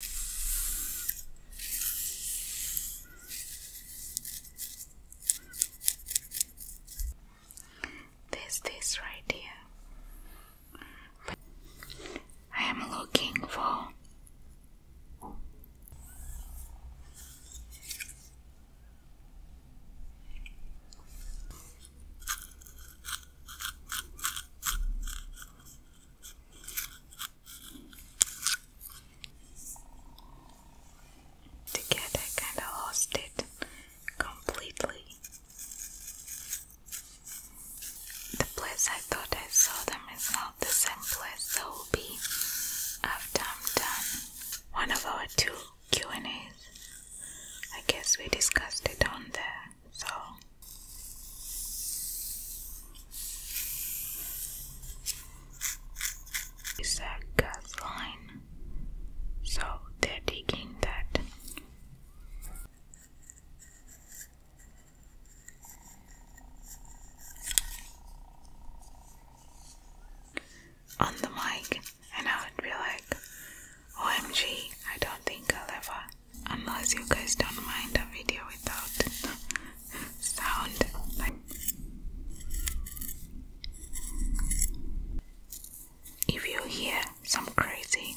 There's this right here. I am looking for. Together, kind of lost it completely. The place I thought I saw them is not the same place they will be after I'm done. One of our two Q and A's. I guess we discussed it on there so it's a gas so they're taking that on the mic and I would be like OMG I don't think I'll ever unless you guys don't mind a video without sound. if you hear some crazy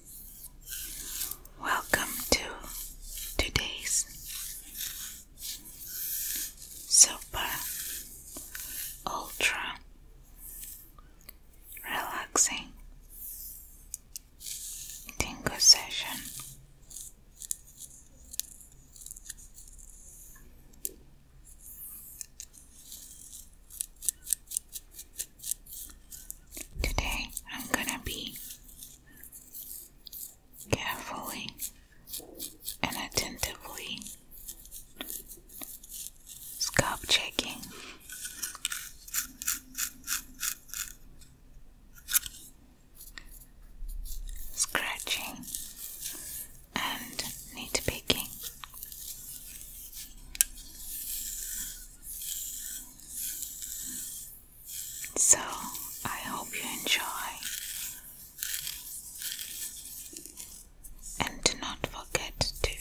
Welcome to today's super ultra relaxing tingle session. Today I'm gonna be carefully and attentively scalp checking. Scratching and nitpicking. So I hope you enjoy and do not forget to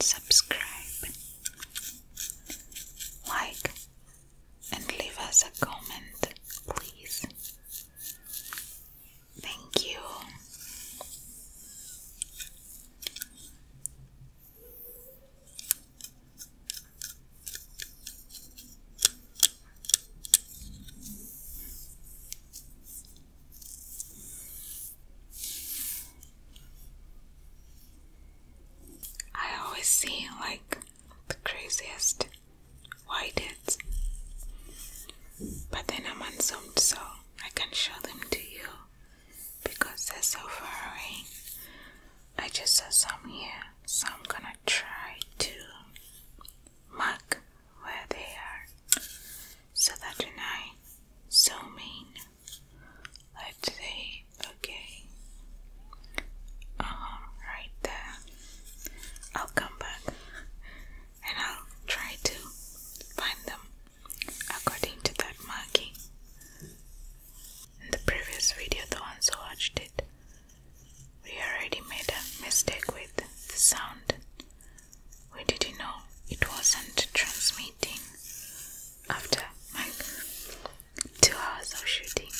subscribe, like, and leave us a comment, please. Thank you. I always see like the craziest whiteheads, but then I'm unzoomed so I can show them to you because they're so far away. I just saw some here, so I'm gonna try to mark where they are so that when I zoom in, let's say, okay, um, right there, I'll come back and I'll try to find them according to that marking. In the previous video, the ones who watched it, we already made a mistake with the sound. We didn't know it wasn't transmitting after like two hours of shooting.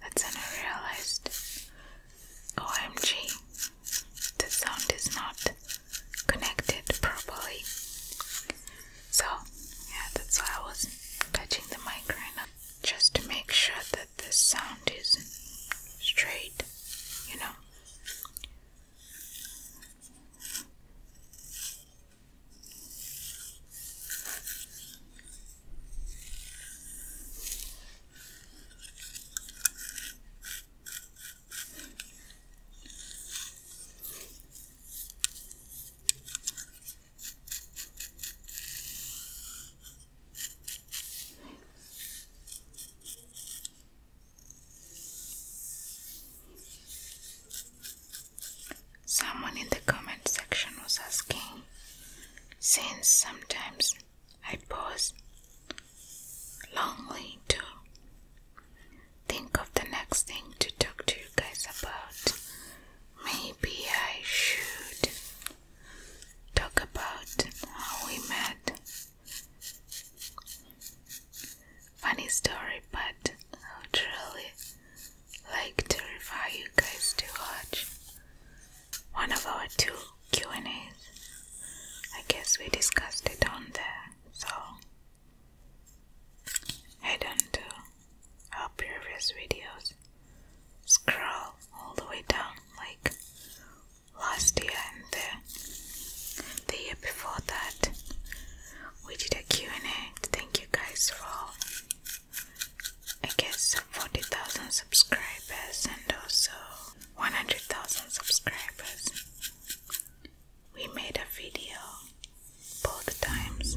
That's when I realized OMG, the sound is not connected properly. So, yeah, that's why I was touching the microphone Just to make sure that the sound is straight, you know. Someone in the comment section was asking, since sometimes I pause longly too, think of the next thing to talk to you guys about. Maybe I should talk about how we met. Funny story, but I would really like to refer you guys to watch one of our two Q and A's. I guess we discussed it on there, so Head on our previous videos. Scroll all the way down like last year and the, the year before that. We did a Q&A. Thank you guys for, I guess, 40,000 subscribers and also 100,000 subscribers we made a video both times.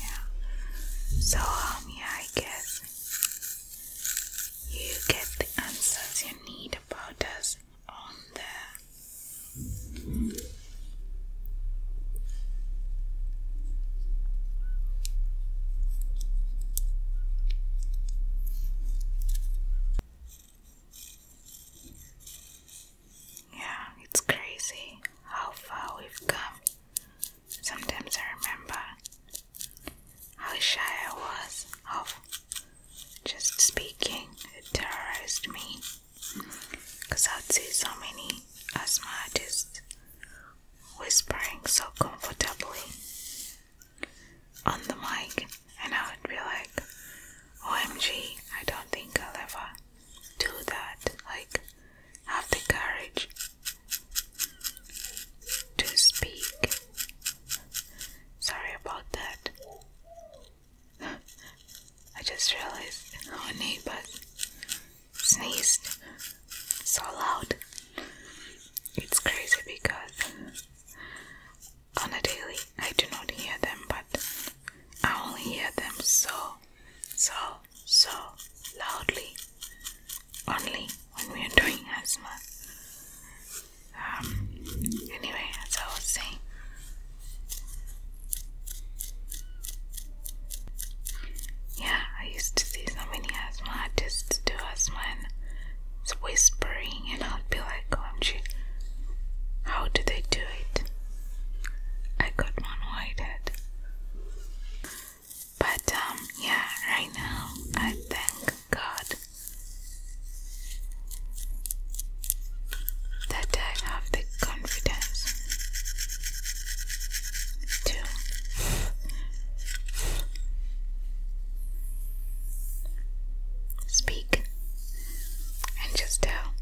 Yeah. So um I guess you get the answers you need about us on there. Yeah, it's crazy how far we've come. Sometimes I remember how shy I was of just speaking. It terrorized me because I'd see so many asthma artists whispering so comfortably on the mic, and I would be like, OMG, I don't think I'll ever do that. Like, have the courage to speak. Sorry about that. I just realized our neighbors sneezed so loud. It's crazy because on a daily. I do not hear them, but I only hear them so, so, so loudly only when we are doing asthma. Um, anyway, as I was saying, yeah, I used to see so many asthma artists do asthma, and it's whispering, and I'll be like, OMG, oh, how do they do it? I got one whitehead. But, um, yeah, right now I thank God that I have the confidence to speak week and just tell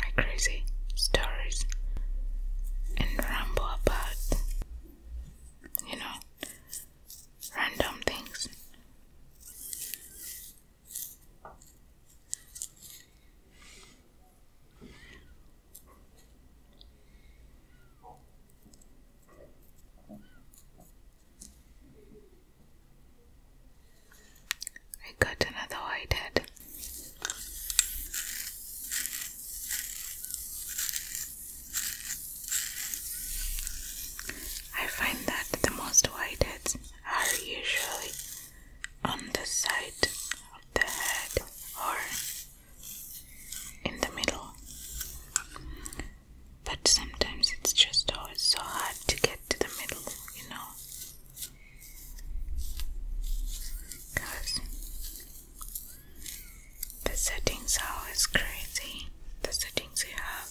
my crazy stories and ramble about, you know, random things. I got another whitehead. I find that the most whiteheads are usually on the side of the head or in the middle but sometimes it's just always so hard to get to the middle, you know. Because the settings are always crazy, the settings you have.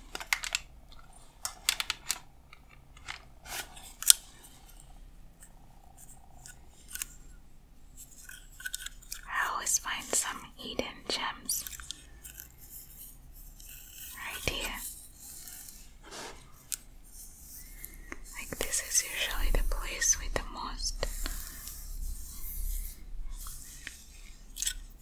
I always find some Eden gems right here. Like, this is usually the place with the most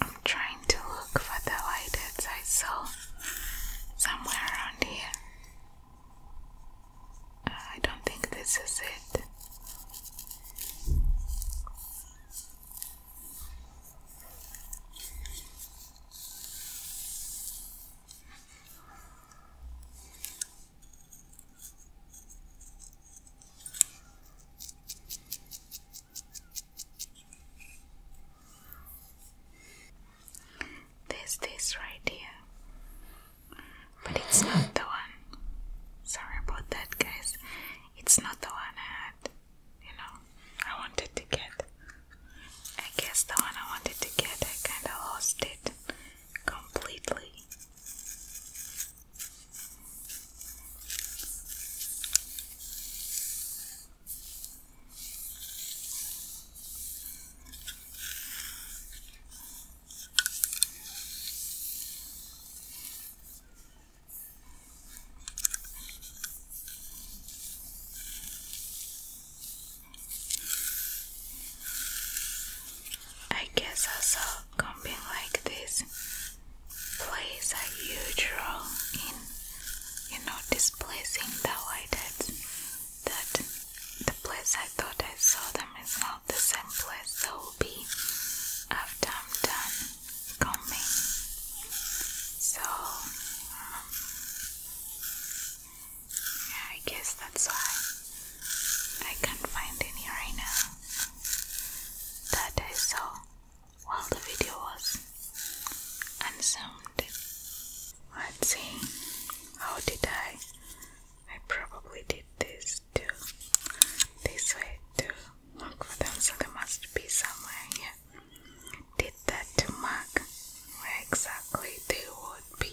I'm trying to look for the white heads I saw somewhere around here. Uh, I don't think this is it. There's this right here, but it's not the one. Sorry about that, guys. It's not the one I had that, you know, I wanted to get. I guess the one I wanted to get, I kind of lost it completely. I guess I saw camping like this plays a huge role in you know displacing the whiteheads that the place I thought I saw them is not the same place So be after I'm done combing. So, yeah, um, I guess that's why I can't find any right now that I saw while the video was unsound. Let's see, how did I? I probably did this these this way to look for them, so they must be somewhere Did that to mark where exactly they would be.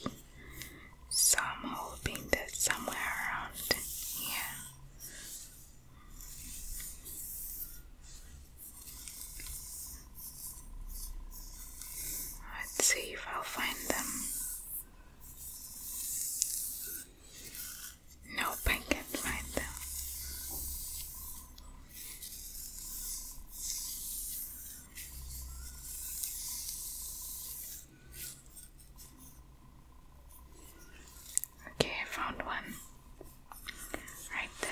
So I'm hoping that somewhere around here. Let's see if I'll find them. Nope, I can't find them. Okay, I found one right there.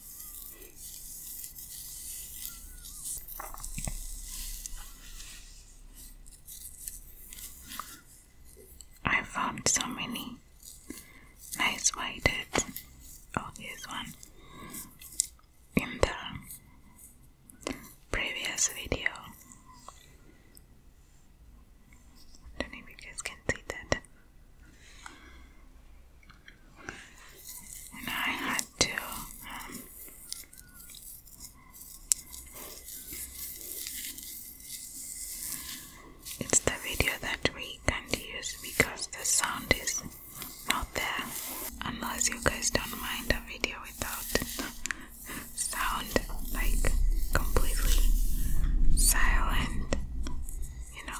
I found so many nice white heads. Oh, this one in the previous video. don't know if you guys can see that and I had to um, it's the video that we can use because the sound is not there unless you guys don't mind a video without sound like completely silent you know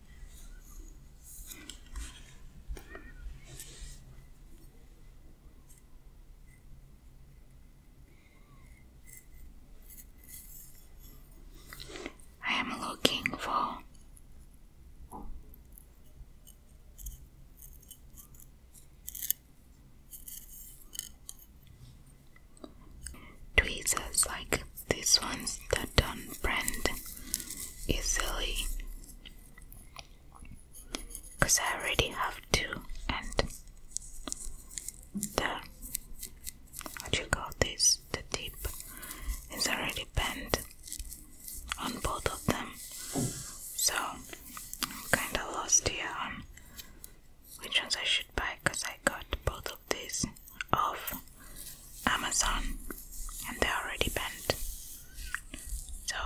I am looking for tweezers like these ones that don't bend easily because I already have two and the what you call this the tip is already bent on both of them so I'm kinda lost here on which ones I should buy because I got both of took these off Amazon and they already bent. So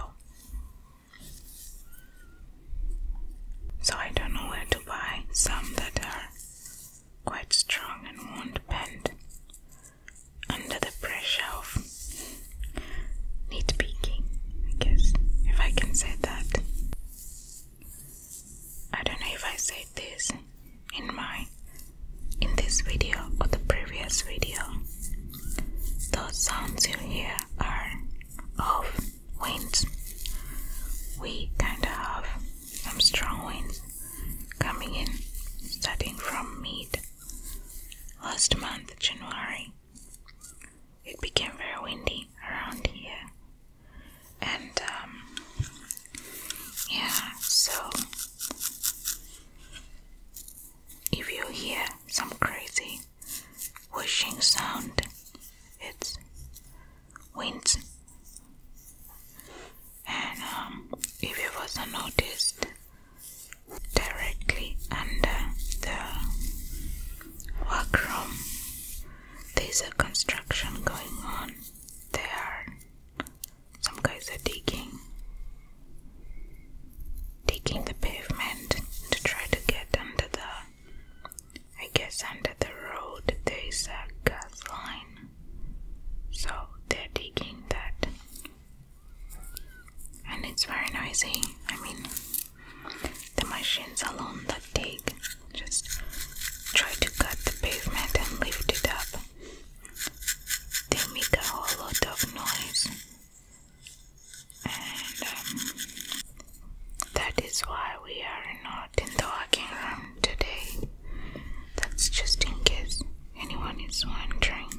so I don't know where to buy some that are quite strong and won't bend under the pressure of nitpicking, I guess, if I can say that. I don't know if I said this in my in this video or the previous video. Those sounds you hear are of winds. We kind of have some strong winds coming in starting from mid last month, January. It became very windy around here, and um, yeah, so if you hear some crazy whooshing sound, it's wind. And um, if it wasn't noticed, directly under the workroom, there's a construction going on. There some guys are digging, digging the pavement to try to get under the. I guess under the road there is a gas line, so they're digging that, and it's very noisy. I mean, the machines alone that dig just try to cut the pavement and lift it up they make a whole lot of noise, and um, that is why we are not in the walking room today. That's just in case anyone is wondering.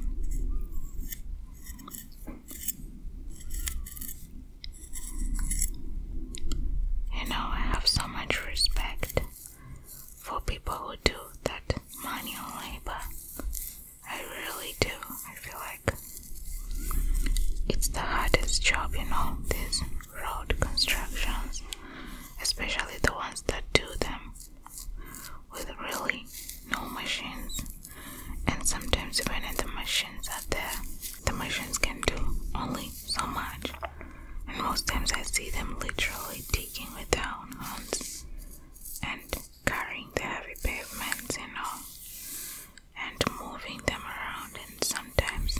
You know, I have so much respect for people who do that manual labor. I really do. I feel like it's the hardest job, you know, these road constructions, especially the ones that do them with really no machines. And sometimes, even if the machines are there, the machines can do only so much, and most times I see them literally digging with their own hands and carrying the heavy pavements and all, and moving them around. And sometimes,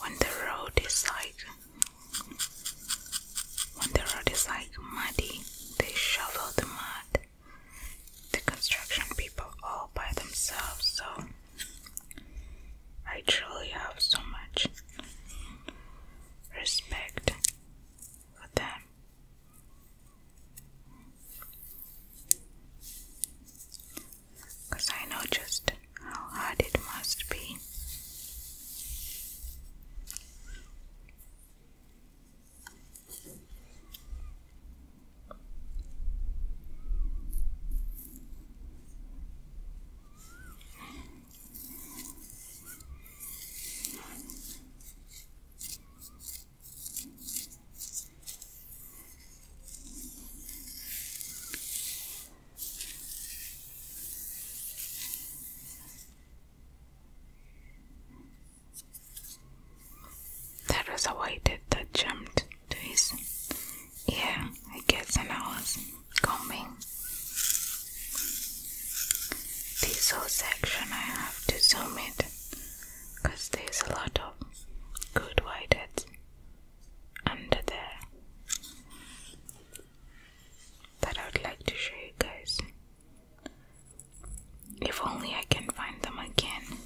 when the road is like when the road is like muddy, they shovel the mud. The construction people all by themselves, so I truly have so much respect for them. Because I know just how hard it must be. There was a I did that jumped to his yeah, I guess when I was combing this whole section, I have to zoom it because there's a lot of good whiteheads under there that I would like to show you guys. If only I can find them again.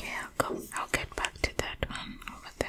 Okay, I'll get back to that one over there.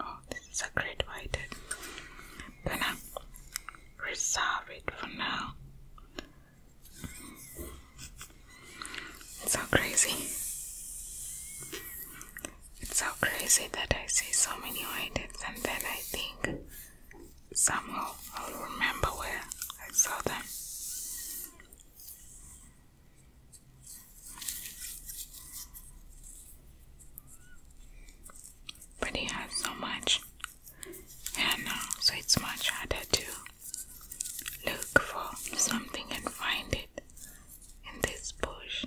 Oh, this is a great white. Gonna reserve it for now. It's so crazy. It's so crazy that I see so many whiteheads and then I think somehow I'll remember where I saw them. But he has so much, and uh, so it's much harder to look for something and find it in this bush.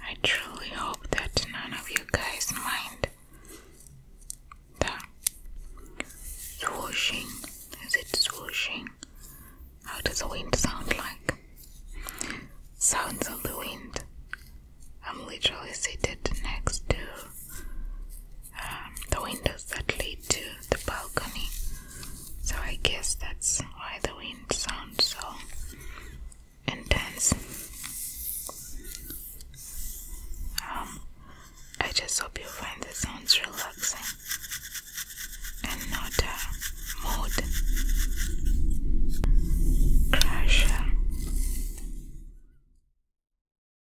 I truly hope that none of you guys mind the swooshing. Is it swooshing? How does the wind sound like? Sounds of the wind. I'm literally seated next to um, the windows that lead to the balcony. So I guess that's why the wind sounds so intense. Um, I just hope you find the sounds relaxing and mood crasher.